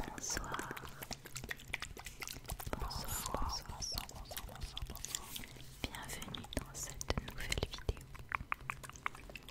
Bonsoir. Bonsoir, bonsoir, bonsoir, Bienvenue dans cette nouvelle vidéo.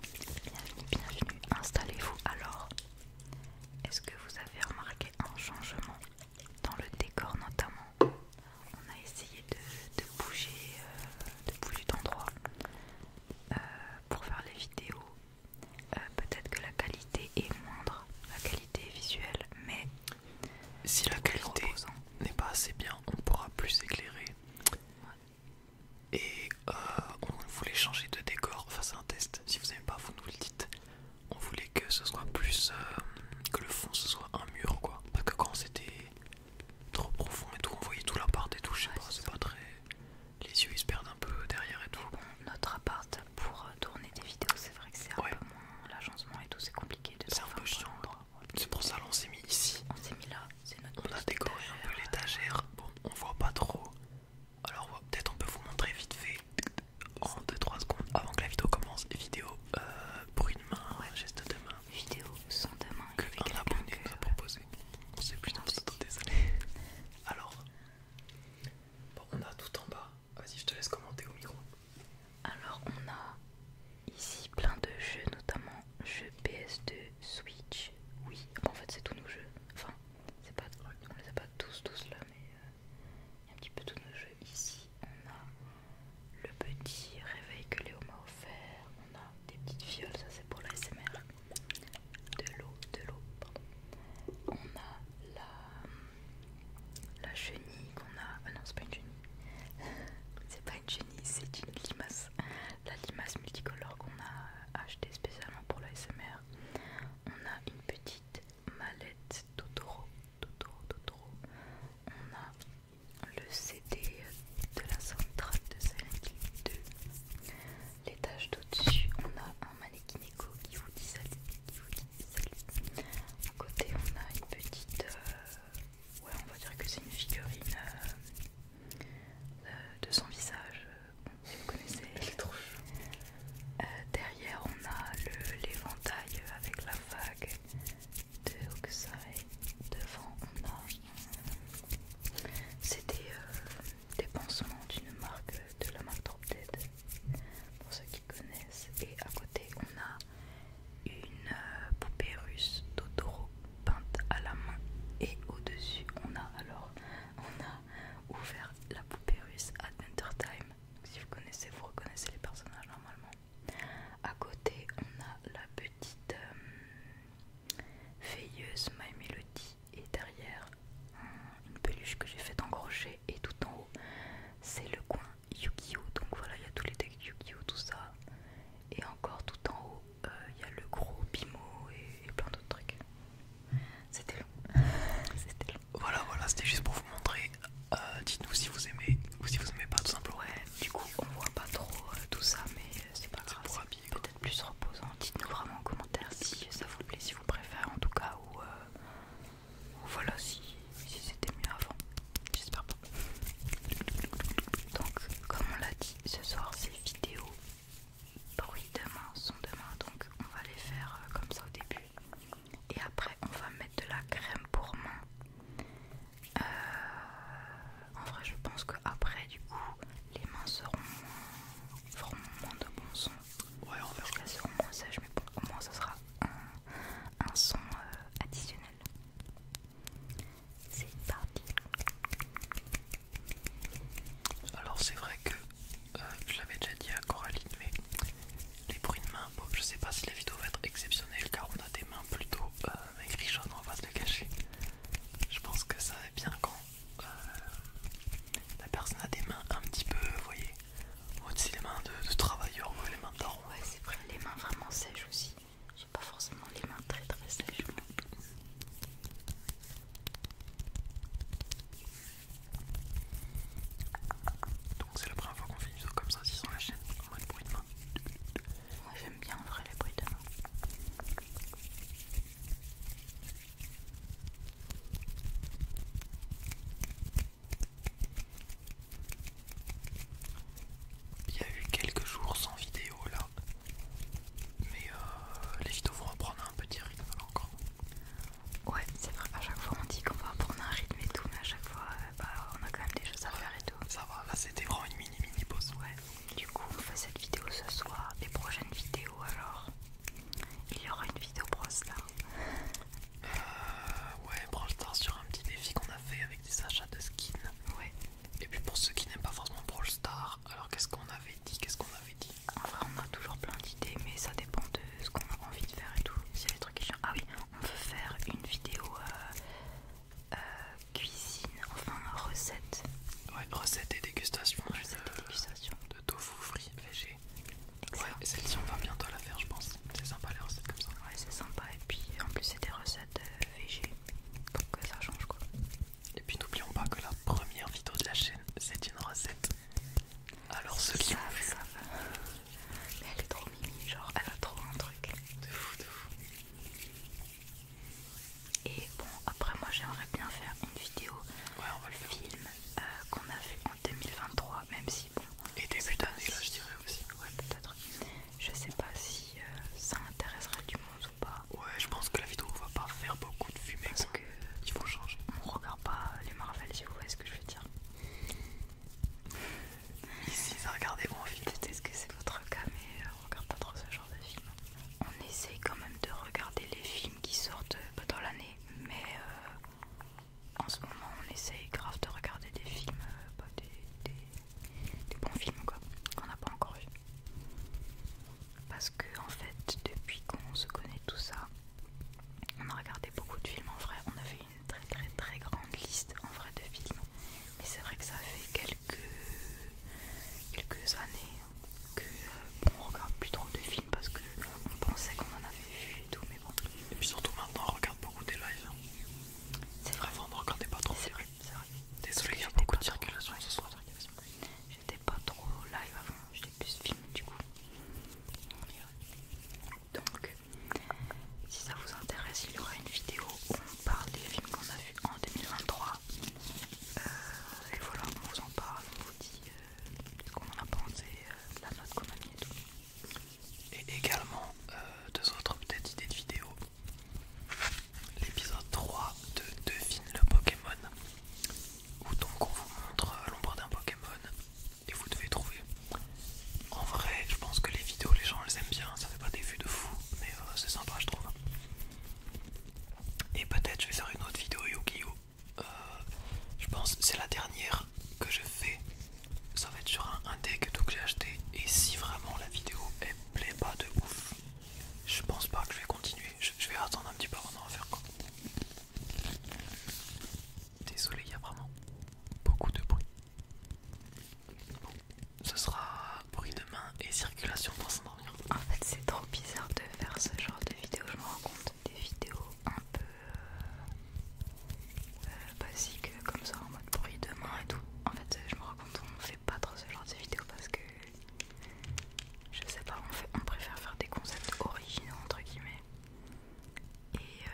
Bienvenue, bienvenue. Installez-vous alors. Est-ce que vous avez remarqué un changement dans le décor notamment On a essayé de, bouger euh, de bouger d'endroit euh, pour faire les vidéos euh, peut-être que la qualité est moindre, la qualité visuelle, mais si la qualité n'est pas assez bien, on pourra plus éclairer. Et euh, on voulait changer de décor, enfin c'est un test. Si vous aimez pas, vous nous le dites. On voulait que ce soit plus, euh, que le fond ce soit un mur quoi, pas que quand c'était trop profond et tout, on voyait tout l'appart et tout. Je sais c'est pas très les yeux ils se perdent un peu derrière et tout. Bon, notre appart pour tourner des vidéos, c'est vrai que c'est un peu moins l'agencement et tout, c'est compliqué de C'est un peu C'est pour ça qu'on s'est mis ici. On s'est mis là, c'est notre On a décoré un peu l'étagère. Bon, on voit pas trop. Alors peut-être on peut vous montrer vite fait en 2-3 secondes avant que la vidéo commence. Vidéo euh, bruit de main, ouais. geste de main. Vidéo sans de main. Que un abonné nous a proposé. On sait plus désolé. Alors, on a tout en bas. Vas-y, je te laisse commenter au micro. Alors, on a ici plein de jeux, notamment jeux PS2, Switch. Oui, en fait, c'est tous nos jeux. Enfin, c'est pas, on les a pas tous, tous là, mais euh, il y a un petit peu tous nos jeux. Ici, on a le petit réveil que Léo m'a offert des petites fioles, ça c'est pour la SMR. De l'eau, de l'eau, On a la, la chenille qu'on a. Ah non, c'est pas une chenille. c'est pas une chenille, c'est une limace. La limace multicolore qu'on a acheté spécialement pour la SMR. On a une petite mallette Totoro. On a le CD de la centrale de Silent L'étage d'au-dessus, on a un mannequin éco qui vous dit salut, qui vous dit salut. À côté, on a une petite, euh, ouais, on va dire que c'est une figurine euh, euh, de, son visage. Si vous connaissez, elle est Derrière, on a l'éventail avec la vague de Oxai. Devant, on a. C'était des pansements d'une marque de la marque Drop Dead pour ceux qui connaissent et à côté on a une euh, poupée russe Totoro peinte à la main et au dessus on a alors on a ouvert la poupée russe Adventure Time si vous connaissez vous reconnaissez les personnages normalement à côté on a la petite feuilleuse My Melody et derrière une peluche que j'ai faite en crochet et tout en haut c'est le coin Yu-Gi-Oh! Donc voilà, il y a tous les decks Yu-Gi-Oh! tout ça. Et encore tout en haut, euh, il y a le gros Bimo et, plein d'autres trucs. C'était long. C'était long. Voilà, voilà, c'était juste pour vous montrer. Euh, dites-nous si vous aimez ou si vous aimez pas, tout simplement. Ouais, du coup, on voit pas trop euh, tout ça, mais c'est pas grave peut-être plus reposant. Dites-nous vraiment en commentaire si ça vous plaît, si vous préférez en tout cas, ou, euh, voilà si, c'était mieux avant. J'espère pas. Donc, comme on l'a dit, ce soir ces vidéos bruit demain, sont demain. Donc, on va les faire euh, comme ça au début. Et après, on va mettre de la crème pour mains. Euh, en vrai, je pense qu'après, du coup, les mains seront Vraiment moins de bons sons. Ouais, on verra. faire au moins mais au moins ça sera un, son euh, additionnel. C'est parti. Alors, c'est vrai que je euh, l'avais déjà dit à Coraline, mais les bruits de mains, je sais pas si la vidéo va être exceptionnelle car on a des mains plutôt gris euh, jaunes on va se le cacher. Je pense que ça va bien quand euh, la personne a des mains un petit peu, vous voyez, aussi les mains de, travailleur, travailleurs ou les mains d'arbre. Ouais, c'est vrai, les mains vraiment sèches aussi. J'ai pas forcément les mains très très sèches. Donc, c'est la première fois qu'on fait une vidéo comme ça, si sans la chaîne, en mode bruit de main. Moi j'aime bien en vrai les bruits de main. Il y a eu quelques jours sans vidéo là, mais euh, les vidéos vont reprendre un petit rythme là encore. Ouais, c'est vrai, à chaque fois on dit qu'on va reprendre un rythme et tout, mais à chaque fois euh, bah, on a quand même des choses à faire et tout. Ça va, là c'était vraiment une mini mini pause. Ouais, du coup on fait cette vidéo ce soir, les prochaines vidéos alors il y aura une vidéo Brawl Euh, ouais, Stars sur un petit défi qu'on a fait avec des achats de skins. Ouais. Et puis pour ceux qui n'aiment pas forcément Brawl Star, alors qu'est-ce qu'on avait dit Qu'est-ce qu'on avait dit ah bah, on a toujours plein d'idées, mais ça dépend de ce qu'on a envie de faire et tout. S'il y trucs Ah oui, on veut faire une vidéo euh, euh, cuisine, enfin recette. Ouais, recette et dégustation. Recette et dégustation de tofu frit végé. Ouais, celle-ci on va bientôt la faire, je pense. C'est sympa les recettes comme ça. Ouais, c'est sympa. Et puis en plus, c'est des recettes végées euh, végé. Donc ça change quoi. Et puis n'oublions pas que la première vidéo de la chaîne, c'est une recette. Alors ce qui Ça Mais elle est trop mimi, genre elle a trop un truc. De fou, de fou. Et bon, après, moi j'aimerais bien faire une vidéo le film euh, qu'on a fait en 2023, même si bon. Et début d'année, là je dirais aussi. Ouais, peut-être. Je sais pas si euh, ça intéresserait du monde ou pas. Ouais, je pense que la vidéo va pas faire beaucoup de fumée parce que il faut changer. On regarde pas les Marvel, si vous voyez ce que je veux dire. Ici, ça regardez mon film. Peut-être que c'est votre cas, mais euh, on regarde pas trop ce genre de films. On essaye quand même de regarder les films qui sortent pas dans l'année, mais euh, en ce moment on essaye grave de regarder des films, euh, pas des, bons films quoi, qu'on n'a pas encore vu. Parce que en fait, depuis qu'on se connaît tout ça, on a regardé beaucoup de films en vrai, on a fait une très très très grande liste en vrai de films. Mais c'est vrai que ça fait quelques, quelques années, que bon, on regarde plus trop de films parce que pensait qu'on en avait vu et tout, mais bon. Et puis surtout maintenant, on regarde beaucoup des lives. Hein. C'est Vrai. on ne regardait pas trop. C'est vrai, Désolé, il y a beaucoup de circulation ce soir. J'étais pas trop live avant, j'étais plus film du coup. Donc, si ça vous intéresse, il y aura une vidéo où on parle des films qu'on a vus en 2023. Euh, et voilà, on vous en parle, on vous dit euh, ce qu'on en a pensé, de euh, la note qu'on et tout. Et également euh, deux autres peut-être idées de vidéos. L'épisode 3 de Devine le Pokémon. Où donc on vous montre euh, l'ombre d'un Pokémon et vous devez trouver. En vrai, je pense que les vidéos, les gens les aiment bien, ça fait pas des vues de fou, mais c'est sympa, je trouve. Et peut-être je vais faire une autre vidéo Yu-Gi-Oh! Euh, je pense c'est la dernière que je fais ça va être sur un, deck tout que j'ai acheté et si vraiment la vidéo est plaît pas de ouf je pense pas que je vais continuer je, vais attendre un petit peu avant d'en faire quoi désolé il y a vraiment beaucoup de bruit bon ce sera bruit de main et circulation dans pour s'endormir en fait c'est trop bizarre de faire ce genre de vidéo je me rends compte des vidéos un peu euh, euh, basiques comme ça en mode bruit de main et tout. En fait, je me rends compte qu'on fait pas trop ce genre de vidéos parce que je sais pas, on, fait, on préfère faire des concepts originaux entre guillemets. Et euh,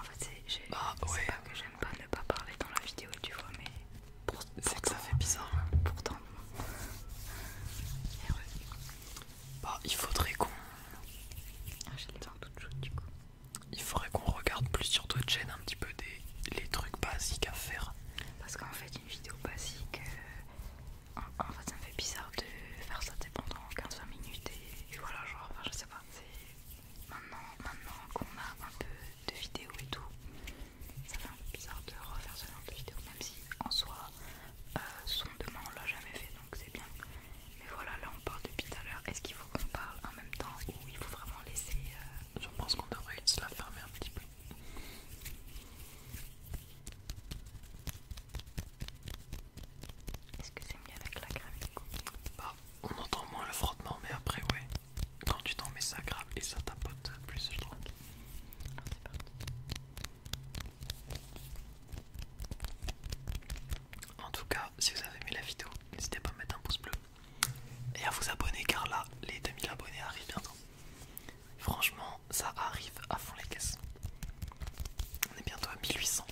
en fait, c'est ah, pas que j'aime pas ne pas parler dans la vidéo, tu vois, mais c'est que ça fait bizarre, hein, pourtant. Bah, il faudrait qu'on. Ah, j'ai les toutes chaudes du coup. Il faudrait qu'on regarde plus sur d'autres chaîne un petit peu des les trucs basiques à faire. Parce qu'en fait, une vidéo basique, euh, en, fait, ça me fait bizarre de faire ça pendant 15 minutes et, voilà, genre, enfin, je sais pas. Maintenant, maintenant qu'on a un peu de vidéos et tout, ça fait un peu bizarre de refaire ce genre de vidéo, même si en soi, euh, son demain on l'a jamais fait donc c'est bien. Mais voilà, là on parle depuis tout à l'heure. Est-ce qu'il faut qu'on parle en même temps ou il faut vraiment laisser. Euh, je pense qu'on devrait se la fermer un petit peu. Est-ce que c'est mieux avec la crème bah, on entend moins le frottement, mais après, ouais, quand tu t'en mets, ça grappe et ça tapote plus, je trouve. En tout cas, si vous avez aimé la vidéo, n'hésitez pas à mettre un pouce bleu et à vous abonner car là, les 2000 abonnés arrivent bientôt. Franchement, ça arrive à fond les caisses. On est bientôt à 1800.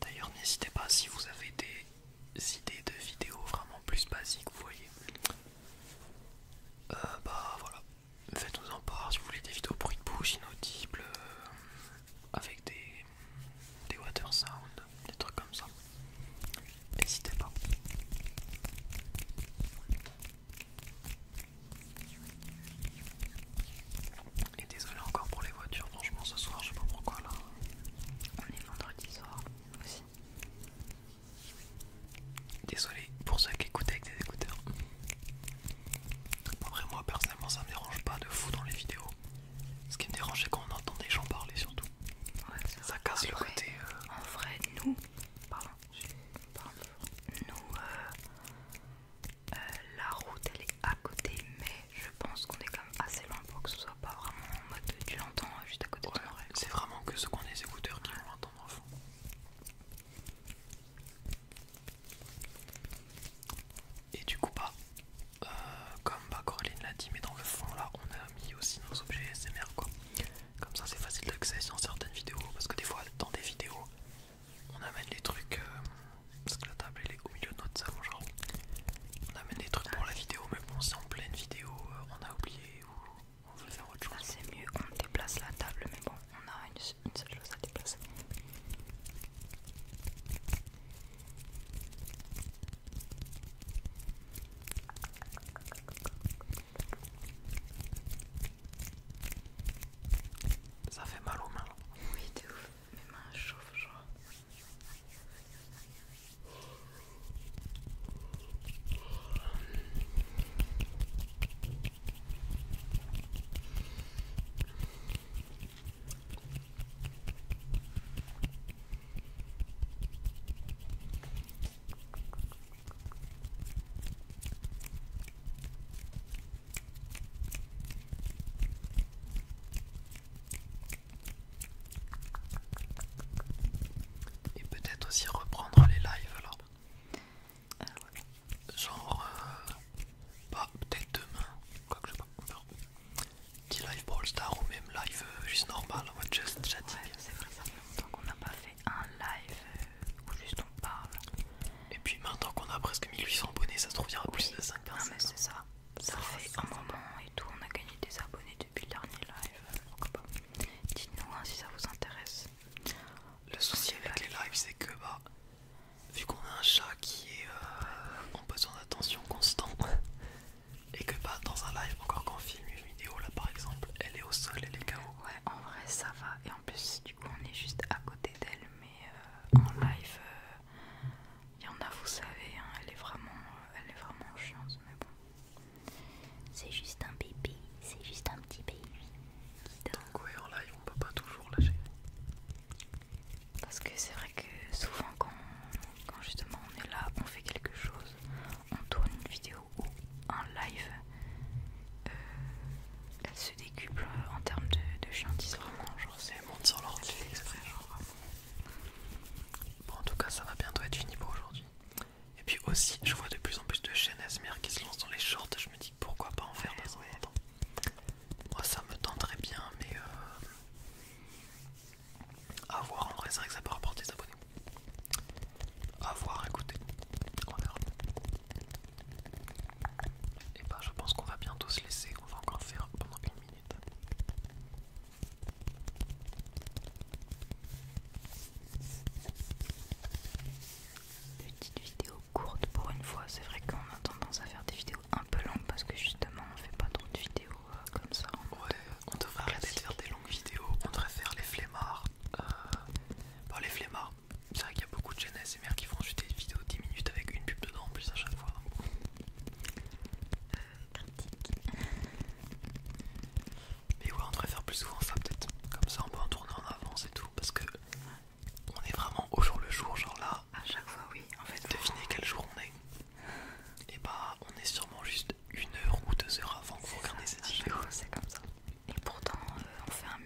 D'ailleurs, n'hésitez pas si vous avez des idées de vidéos vraiment plus basiques, vous voyez. Euh, bah voilà, faites-nous en part si vous voulez des vidéos bruit de bouche inaudibles euh, avec des, des water sound, des trucs comme ça. N'hésitez pas. Et désolé encore pour les voitures, franchement ce soir je sais pas pourquoi là. On est vendredi soir aussi. Désolé pour ceux qui écoutent avec des écouteurs. Après moi personnellement ça me dérange pas de fou dans les vidéos. Ce qui me dérange c'est quand on entend des gens parler surtout. ça casse le côté... Euh, en vrai nous... Nous... Euh, euh, la route elle est à côté mais je pense qu'on est quand même assez loin pour que ce soit pas vraiment en mode tu l'entends juste à côté de C'est vraiment que ceux qu'on des écouteurs qui vont l'entendre en fond. Et du coup, pas, bah, euh, comme bah, Coraline l'a dit, mais dans le fond là, on a mis aussi nos objets SMR quoi. Comme ça, c'est facile d'accès dans certaines vidéos parce que des fois, dans des vidéos, on amène les trucs euh, parce que la table elle est au milieu de notre salon, genre on amène les trucs pour la vidéo, mais bon, c'est en pleine vidéo, euh, on a oublié ou on veut faire autre ah, chose. C'est mieux, on déplace la table, mais bon, on a une une seule chose à déplacer. Ça fait mal aux mains. Oui, de ouf. Mes mains chauffent, crois. Et peut-être aussi reprendre les lives alors. Genre, pas euh, bah, peut-être demain, quoi que je sais pas, Petit live Brawl Star ou même live euh, juste normal, en mode just Ouais, c'est vrai, ça qu'on n'a pas fait un live euh, où juste on parle. Et puis maintenant qu'on a presque 1800 abonnés, ça se trouve, il plus de 5 personnes. mais c'est ça. Ça, fait un moment et tout, on a gagné des abonnés depuis le dernier live. Dites-nous hein, si ça vous intéresse. Le souci avec les lives, c'est que bah vu qu'on a un chat qui est euh, en besoin d'attention constant et que pas dans un live, encore qu'en film, une vidéo là par exemple, elle est au sol, elle est KO. Ouais, en vrai ça va, et en plus du coup on est juste à côté d'elle, mais euh, en live, euh, il y en a, vous savez, hein, elle, est vraiment, elle est vraiment chiante, mais bon. C'est juste un bébé, c'est juste un petit bébé. Donc ouais en live on peut pas toujours lâcher. Parce que c'est vrai que souvent quand, justement on est là, on fait quelque chose, on tourne une vidéo ou un live, euh, elle se décuple en termes de, de vraiment Genre c'est monte sur l'ordi. Bon en tout cas ça va bientôt être fini pour aujourd'hui. Et puis aussi je vois de plus en plus de chaînes ASMR qui se lancent dans les shorts, je me dis pourquoi pas en faire des dans moi ça me très bien, mais euh, à voir on vrai, ça ça peut rapporter des abonnés. À voir, écoutez, on verra. Et eh bah, ben, je pense qu'on va bientôt se laisser, on va encore faire pendant une minute petite vidéo courte pour une fois. C'est vrai qu'on a tendance à faire des vidéos un peu longues parce que justement on fait pas trop de vidéos euh, comme ça. Ouais, on devrait arrêter de faire des longues vidéos. On devrait faire les flemmards. Euh, les flemmards, c'est vrai qu'il y a beaucoup de et mères qui font juste des vidéos 10 minutes avec une pub dedans en plus à chaque fois. Mais ouais, on devrait faire plus souvent ça, peut-être. Comme ça, on peut en tourner en avance et tout. Parce que on est vraiment au jour le jour, genre là. À chaque fois, oui. En fait, devinez quel jour on est. Et eh bah, on est sûrement juste une heure ou deux heures avant que vous regardiez cette vidéo. C'est comme ça. Et pourtant, euh, on fait un,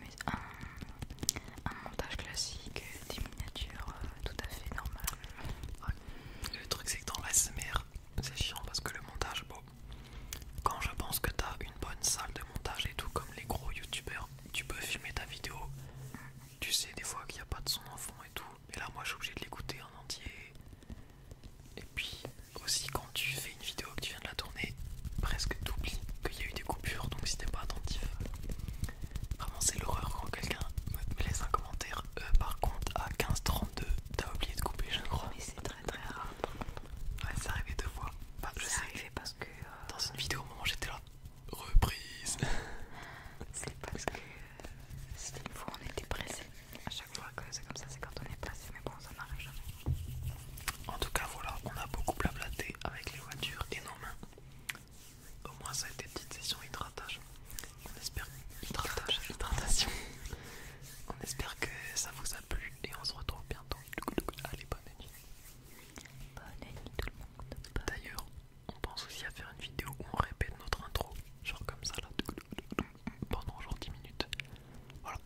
montage classique, des miniatures euh, tout à fait normales. Le truc, c'est que dans la SMR, c'est chiant parce que le montage, bon, quand je pense que t'as une bonne salle de montage et tout, comme les gros youtubeurs, tu peux filmer ta vidéo. Tu sais des fois qu'il n'y a pas de son enfant et tout. Et là moi je suis obligé de l'écouter en entier. Et puis aussi quand tu fais une vidéo que tu viens de la tourner, presque oublies qu'il y a eu des coupures. Donc si t'es pas attentif, vraiment c'est l'horreur quand quelqu'un me laisse un commentaire. Euh, par contre à 15h32, t'as oublié de couper je crois. Mais c'est très très rare. Ouais c'est arrivé deux fois. enfin bah, je sais. arrivé parce que... Euh, Dans une vidéo au moment où j'étais là. Reprise. C'est parce que euh, c'était une fois on était pressé. À chaque fois que c'est comme ça, c'est quand on est pressé, mais bon, ça n'arrive jamais. En tout cas, voilà, on a beaucoup blablaté avec les voitures et nos mains. Au moins, ça a été une petite session hydratage. On espère hydratage, hydratation. On espère que ça vous a plu et on se retrouve bientôt. Allez, bonne nuit. Bonne année tout le monde. D'ailleurs, on pense aussi à faire une vidéo où on répète notre intro, genre comme ça là, pendant genre 10 minutes. Voilà,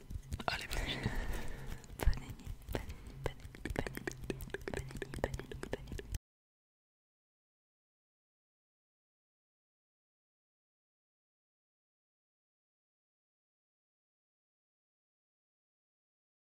allez, bonne année, Bonne année bonne année bonne année bonne année bonne année bonne année